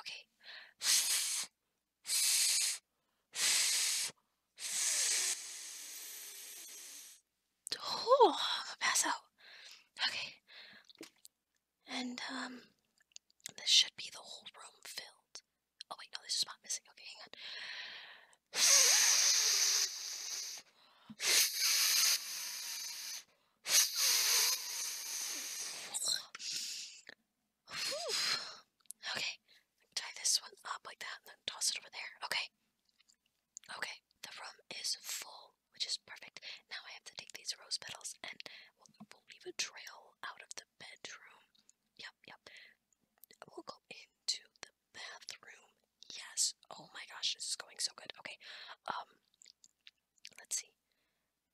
Okay. Oh, pass out. Okay. And um, this should be the whole room filled. Oh wait, no, there's a spot missing. Okay, hang on. Okay, tie this one up like that and then toss it over there. Okay. Okay, the room is full, which is perfect. Now I have to take these rose petals and we'll, we'll leave a trail out of the bedroom. Yep, yep. We'll go into the bathroom. Yes. Oh my gosh, this is going so good. Okay. Um let's see.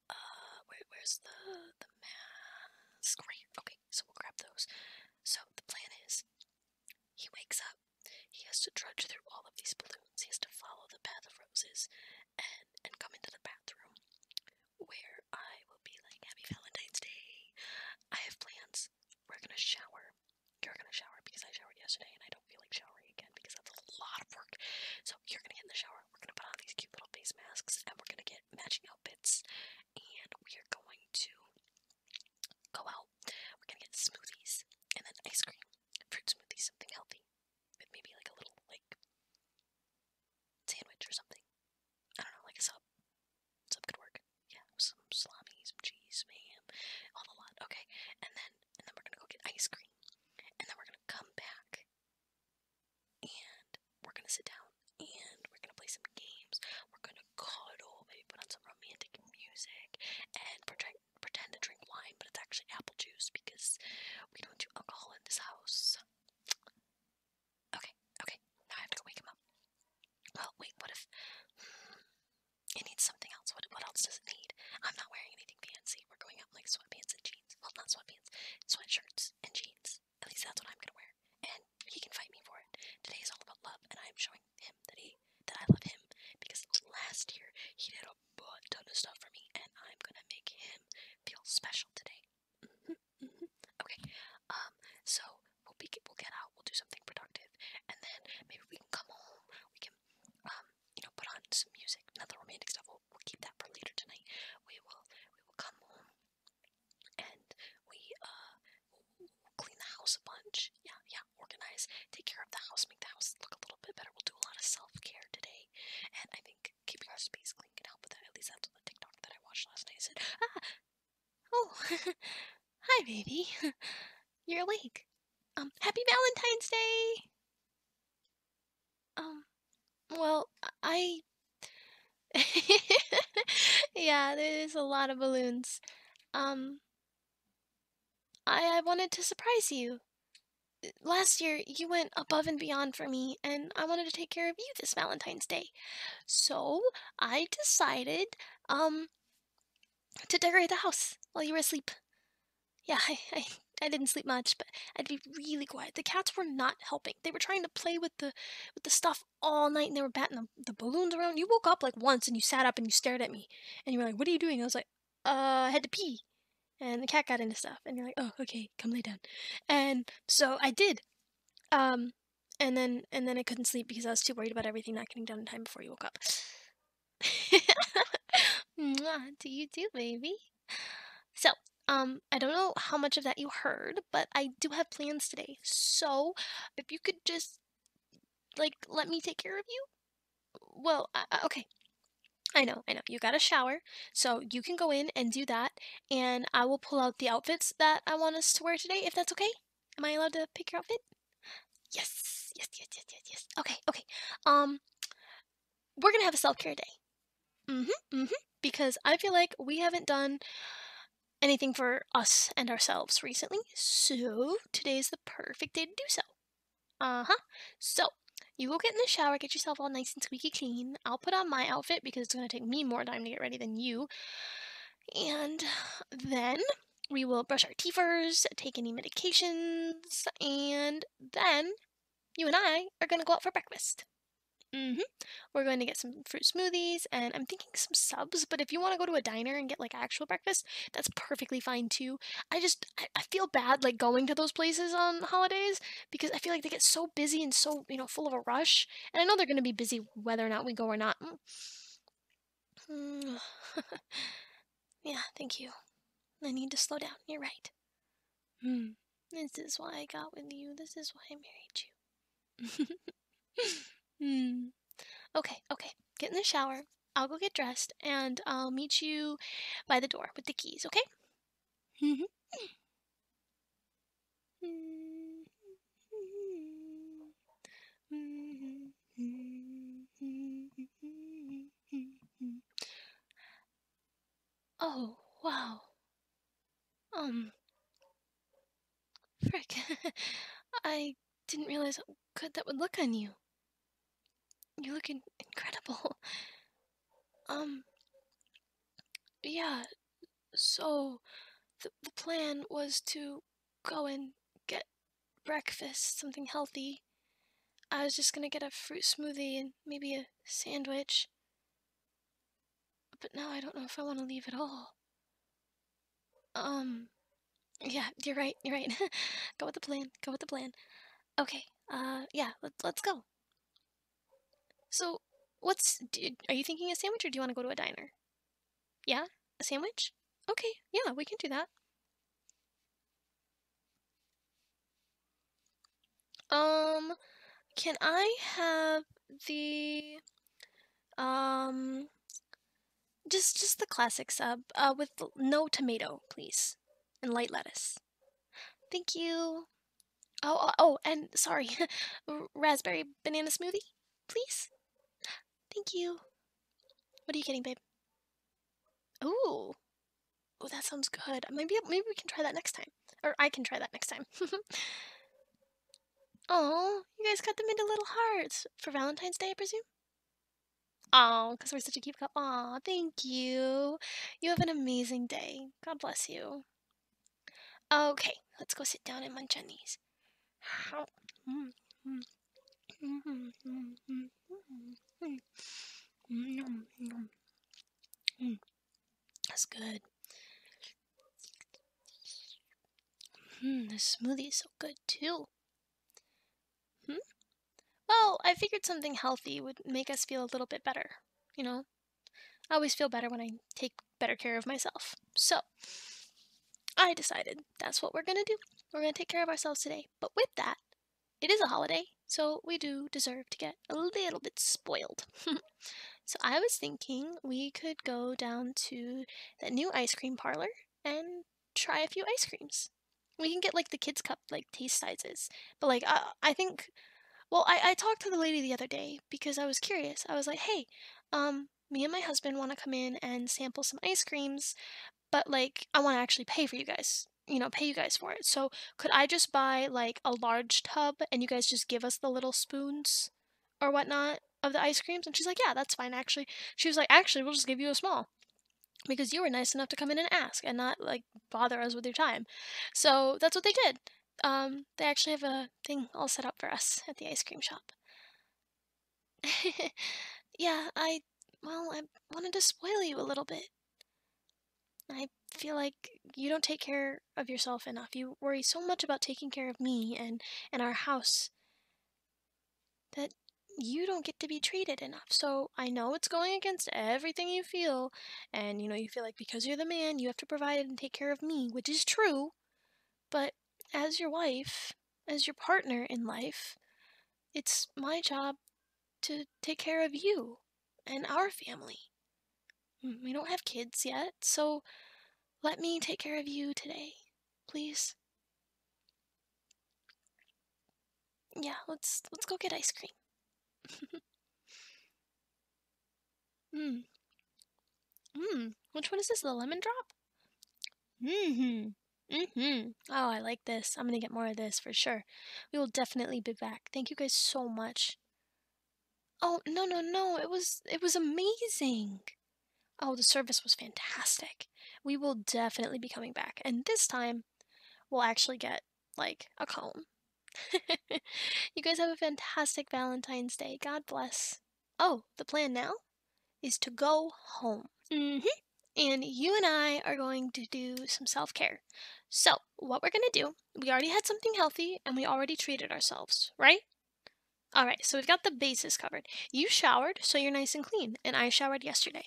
Uh, where's the, the mask? Right, okay, so we'll grab those. So, the plan is, he wakes up, he has to trudge through all of these balloons, he has to follow the path of roses, and, and come into the bathroom, where I will be like, happy Valentine's Day, I have plans, we're gonna shower, you're gonna shower because I showered yesterday and I don't feel like showering again because that's a lot of work, So you're gonna get in the shower, we're gonna put on these cute little face masks, and we're gonna get matching outfits, and we are going to go out. We're gonna get smoothies and then ice cream, fruit smoothies, something healthy, with maybe like a little like sandwich or something. I don't know, like a sub. Sub could work. Yeah, some salami, some cheese, ma'am, all the lot. Okay, and then and then we're gonna go get ice cream, and then we're gonna come back and we're gonna sit down and we're gonna play some games. We're gonna cuddle, maybe put on some romantic music, and pretend pretend to drink wine, but it's actually apple juice because we don't do alcohol in this house. Okay, okay. Now I have to go wake him up. Well, wait. What if? Hmm, it needs something else. What? What else does it need? I'm not wearing anything fancy feet were going out like sweatpants and jeans. Well, not sweatpants, sweatshirts and jeans. At least that's what I'm gonna wear. And he can fight me for it. Today is all about love, and I'm showing him that he that I love him because last year he did a butt ton of stuff for me, and I'm gonna make him feel special today. Mm-hmm, mm-hmm. okay. Um. So we'll be we'll get out. We'll do something productive, and then maybe we can come home. We can um, you know, put on some music. Not romantic stuff. We'll, we'll keep that for later tonight. We will we will come home and we uh clean the house a bunch. Yeah, yeah. Organize, take care of the house, make the house look a little bit better. We'll do a lot of self care today, and I think keeping our space clean can help with that. At least that's the TikTok that I watched last night. said, ah, oh, hi, baby. You're awake. Um, happy Valentine's Day! Um, well, I. yeah, there's a lot of balloons. Um, I, I wanted to surprise you. Last year, you went above and beyond for me, and I wanted to take care of you this Valentine's Day. So, I decided, um, to decorate the house while you were asleep. Yeah, I, I, didn't sleep much, but I'd be really quiet. The cats were not helping. They were trying to play with the with the stuff all night, and they were batting the, the balloons around. You woke up like once, and you sat up and you stared at me, and you were like, "What are you doing?" I was like, "Uh, I had to pee." And the cat got into stuff, and you're like, "Oh, okay, come lay down." And so I did. Um, and then and then I couldn't sleep because I was too worried about everything not getting done in time before you woke up. Mwah, do you do, baby? So, um, I don't know how much of that you heard, but I do have plans today. So, if you could just, like, let me take care of you? Well, okay. I know, I know. You got a shower, so you can go in and do that, and I will pull out the outfits that I want us to wear today, if that's okay. Am I allowed to pick your outfit? Yes, yes, yes, yes, yes, yes. Okay, okay. Um, we're going to have a self care day. Mm hmm, mm hmm. Because I feel like we haven't done anything for us and ourselves recently. So today is the perfect day to do so. Uh huh. So you go get in the shower, get yourself all nice and squeaky clean. I'll put on my outfit because it's going to take me more time to get ready than you. And then we will brush our teethers, take any medications, and then you and I are going to go out for breakfast. Mm-hmm. We're going to get some fruit smoothies and I'm thinking some subs, but if you want to go to a diner and get like actual breakfast, that's perfectly fine too. I just, I, feel bad like going to those places on holidays because I feel like they get so busy and so, you know, full of a rush. And I know they're going to be busy whether or not we go or not. Mm. Yeah, thank you. I need to slow down, you're right. Hmm. This is why I got with you, this is why I married you. hmm. Okay, okay. Get in the shower. I'll go get dressed and I'll meet you by the door with the keys, okay? Mm-hmm. Mm-hmm. Mm-hmm. oh, wow. Um. Frick. I didn't realize how good that would look on you. You look incredible. Um. Yeah, so the, the plan was to go and get breakfast, something healthy. I was just gonna get a fruit smoothie and maybe a sandwich. But now I don't know if I want to leave at all. Um, yeah, you're right, you're right. go with the plan, go with the plan. Okay, uh, yeah, let, us go. So, what's, are you thinking a sandwich or do you want to go to a diner? Yeah, a sandwich? Okay, yeah, we can do that. Um, can I have the, um, just just the classic sub uh, uh, with no tomato, please, and light lettuce. Thank you. Oh, oh, oh and sorry, raspberry banana smoothie, please. Thank you. What are you getting, babe? Ooh. Oh, that sounds good. Maybe maybe we can try that next time. Or I can try that next time. Oh, you guys cut them into little hearts for Valentine's Day, I presume? Oh, because we're such a cute couple. Oh, thank you. You have an amazing day. God bless you. Okay, let's go sit down and munch on these. Mm, mm. Mm, that's good. Mm, this smoothie is so good too. Hmm? Well, I figured something healthy would make us feel a little bit better, you know? I always feel better when I take better care of myself. So, I decided that's what we're going to do. We're going to take care of ourselves today. But with that, it is a holiday, so we do deserve to get a little bit spoiled. so I was thinking we could go down to that new ice cream parlor and try a few ice creams. We can get like the kids' cup, like taste sizes. But like, I, I think, well, I, I talked to the lady the other day because I was curious. I was like, hey, um, me and my husband want to come in and sample some ice creams but like I want to actually pay for you guys you know, pay you guys for it. So could I just buy like a large tub and you guys just give us the little spoons or whatnot of the ice creams? And she's like, yeah, that's fine actually. She was like, actually, we'll just give you a small because you were nice enough to come in and ask and not like bother us with your time. So that's what they did. Um, they actually have a thing all set up for us at the ice cream shop. yeah, I. Well, I wanted to spoil you a little bit. I feel like you don't take care of yourself enough. You worry so much about taking care of me and, and our house that you don't get to be treated enough. So I know it's going against everything you feel, and you know, you feel like because you're the man, you have to provide and take care of me, which is true, but as your wife, as your partner in life, it's my job to take care of you and our family. Mm, we don't have kids yet, so let me take care of you today, please. Yeah, let's let's go get ice cream. Mmm. Mmm. Which one is this? The lemon drop? Mm hmm. Mm hmm. Oh, I like this. I'm going to get more of this for sure. We will definitely be back. Thank you guys so much. Oh, no, no, no. It was it was amazing. Oh, the service was fantastic. We will definitely be coming back. And this time, we'll actually get like a comb. you guys have a fantastic Valentine's Day. God bless. Oh, the plan now? is to go home. Mm-hmm. And you and I are going to do some self care. So, what we're going to do, we already had something healthy and we already treated ourselves, right? All right, so we've got the bases covered. You showered, so you're nice and clean, and I showered yesterday.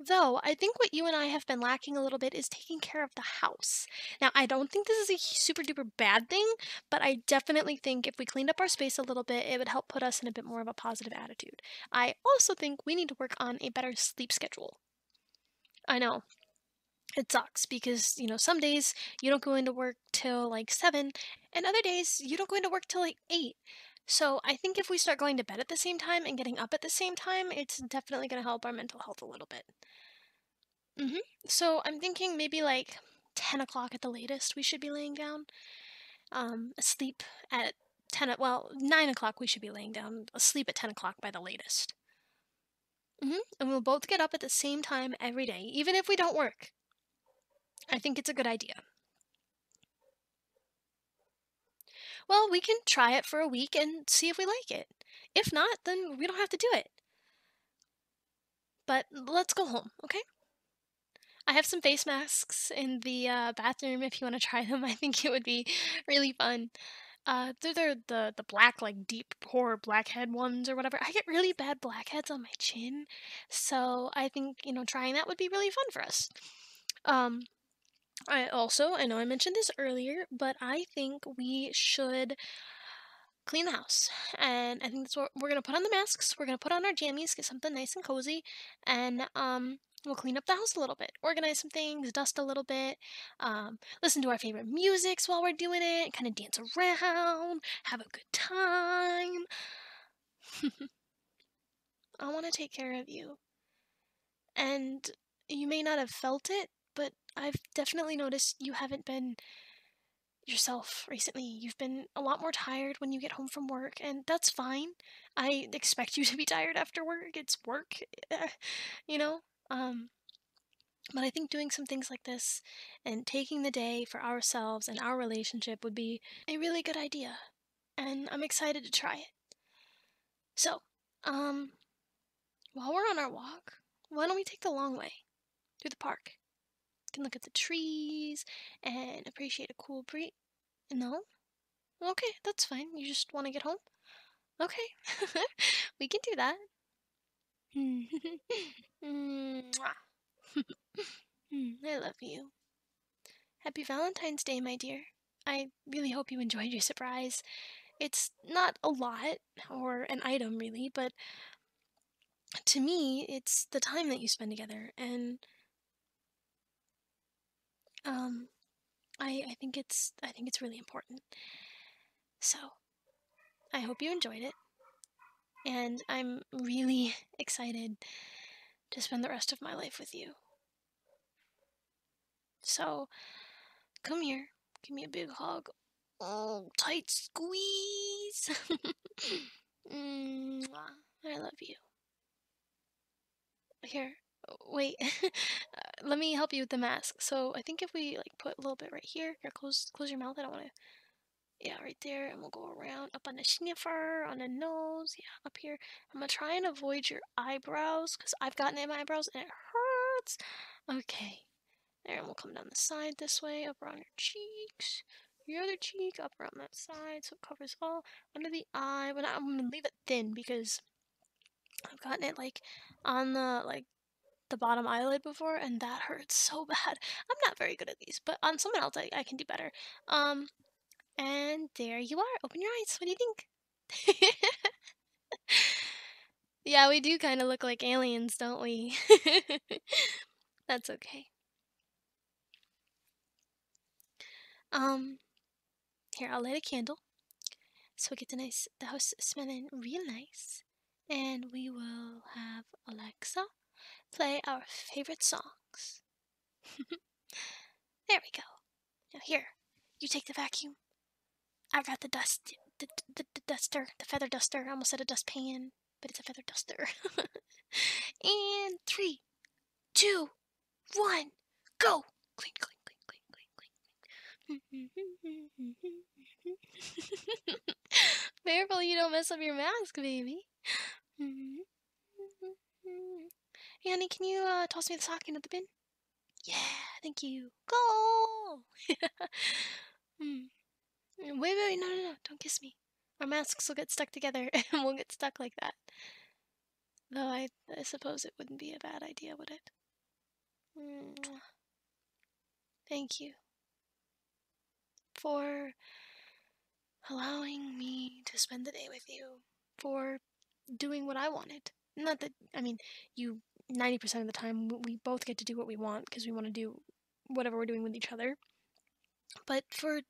Though, I think what you and I have been lacking a little bit is taking care of the house. Now, I don't think this is a super duper bad thing, but I definitely think if we cleaned up our space a little bit, it would help put us in a bit more of a positive attitude. I also think we need to work on a better sleep schedule. I know. It sucks because, you know, some days you don't go into work till like 7, and other days you don't go into work till like 8. So I think if we start going to bed at the same time and getting up at the same time, it's definitely going to help our mental health a little bit. Mm-hmm. So I'm thinking maybe like 10 o'clock at the latest we should be laying down um, asleep at 10, well, 9 o'clock we should be laying down, asleep at 10 o'clock by the latest. -hmm. And we'll both get up at the same time every day, even if we don't work. I think it's a good idea. Well, we can try it for a week and see if we like it. If not, then we don't have to do it. But let's go home, okay? I have some face masks in the uh, bathroom if you want to try them. I think it would be really fun. Uh, are the, the black, like deep pore blackhead ones or whatever. I get really bad blackheads on my chin, so I think, you know, trying that would be really fun for us. Um, I also, I know I mentioned this earlier, but I think we should clean the house. And I think that's what we're going to put on the masks. We're going to put on our jammies, get something nice and cozy, and um, we'll clean up the house a little bit, organize some things, dust a little bit, um, listen to our favorite musics while we're doing it, kind of dance around, have a good time. I want to take care of you. And you may not have felt it, but I've definitely noticed you haven't been yourself recently. You've been a lot more tired when you get home from work, and that's fine. I expect you to be tired after work. It's work, eh, you know? Um, but I think doing some things like this and taking the day for ourselves and our relationship would be a really good idea, and I'm excited to try it. So, um, while we're on our walk, why don't we take the long way through the park? You can look at the trees and appreciate a cool breeze. in the home. Okay, that's fine. You just want to get home? Okay, we can do that. Hmm, I love you. Happy Valentine's Day, my dear. I really hope you enjoyed your surprise. It's not a lot, or an item really, but to me, it's the time that you spend together, and um, I I think it's I think it's really important. So, I hope you enjoyed it, and I'm really excited to spend the rest of my life with you. So, come here, give me a big hug, oh, tight squeeze. Mm, I love you. Here, wait. Uh, let me help you with the mask. So I think if we like put a little bit right here, here, close, close your mouth. I don't want to. Yeah, right there, and we'll go around up on the sniffer, on the nose, yeah, up here. I'm gonna try and avoid your eyebrows, because I've gotten in my eyebrows and it hurts. Okay, there, and we'll come down the side this way, up around your cheeks your other cheek up around that side so it covers all under the eye but i'm gonna leave it thin because i've gotten it like on the like the bottom eyelid before and that hurts so bad i'm not very good at these but on someone else i, I can do better um and there you are open your eyes what do you think yeah we do kind of look like aliens don't we that's okay um, here I'll light a candle, so we get the nice the house smelling real nice, and we will have Alexa play our favorite songs. there we go. Now here, you take the vacuum. I got the dust, the, the, duster, the feather duster. I almost said a dustpan but it's a feather duster. and three, two, one, go! Clean, clean, clean, clean, clean, clean. Careful you don't mess up your mask, baby. Hey, honey, can you uh, toss me the sock into the bin? Yeah, thank you. Go! Hmm. wait, wait, no, no, no, don't kiss me. Our masks will get stuck together and we'll get stuck like that. Though I, suppose it wouldn't be a bad idea, would it? Thank you for allowing me to spend the day with you, for doing what I wanted. Not that, I mean, you, 90% of the time, we both get to do what we want because we want to do whatever we're doing with each other but for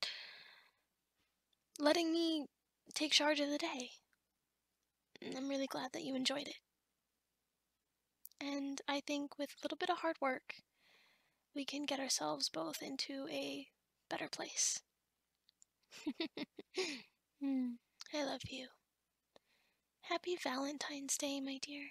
letting me take charge of the day. I'm really glad that you enjoyed it. And I think with a little bit of hard work, we can get ourselves both into a better place. Hmm. I love you. Happy Valentine's Day, my dear.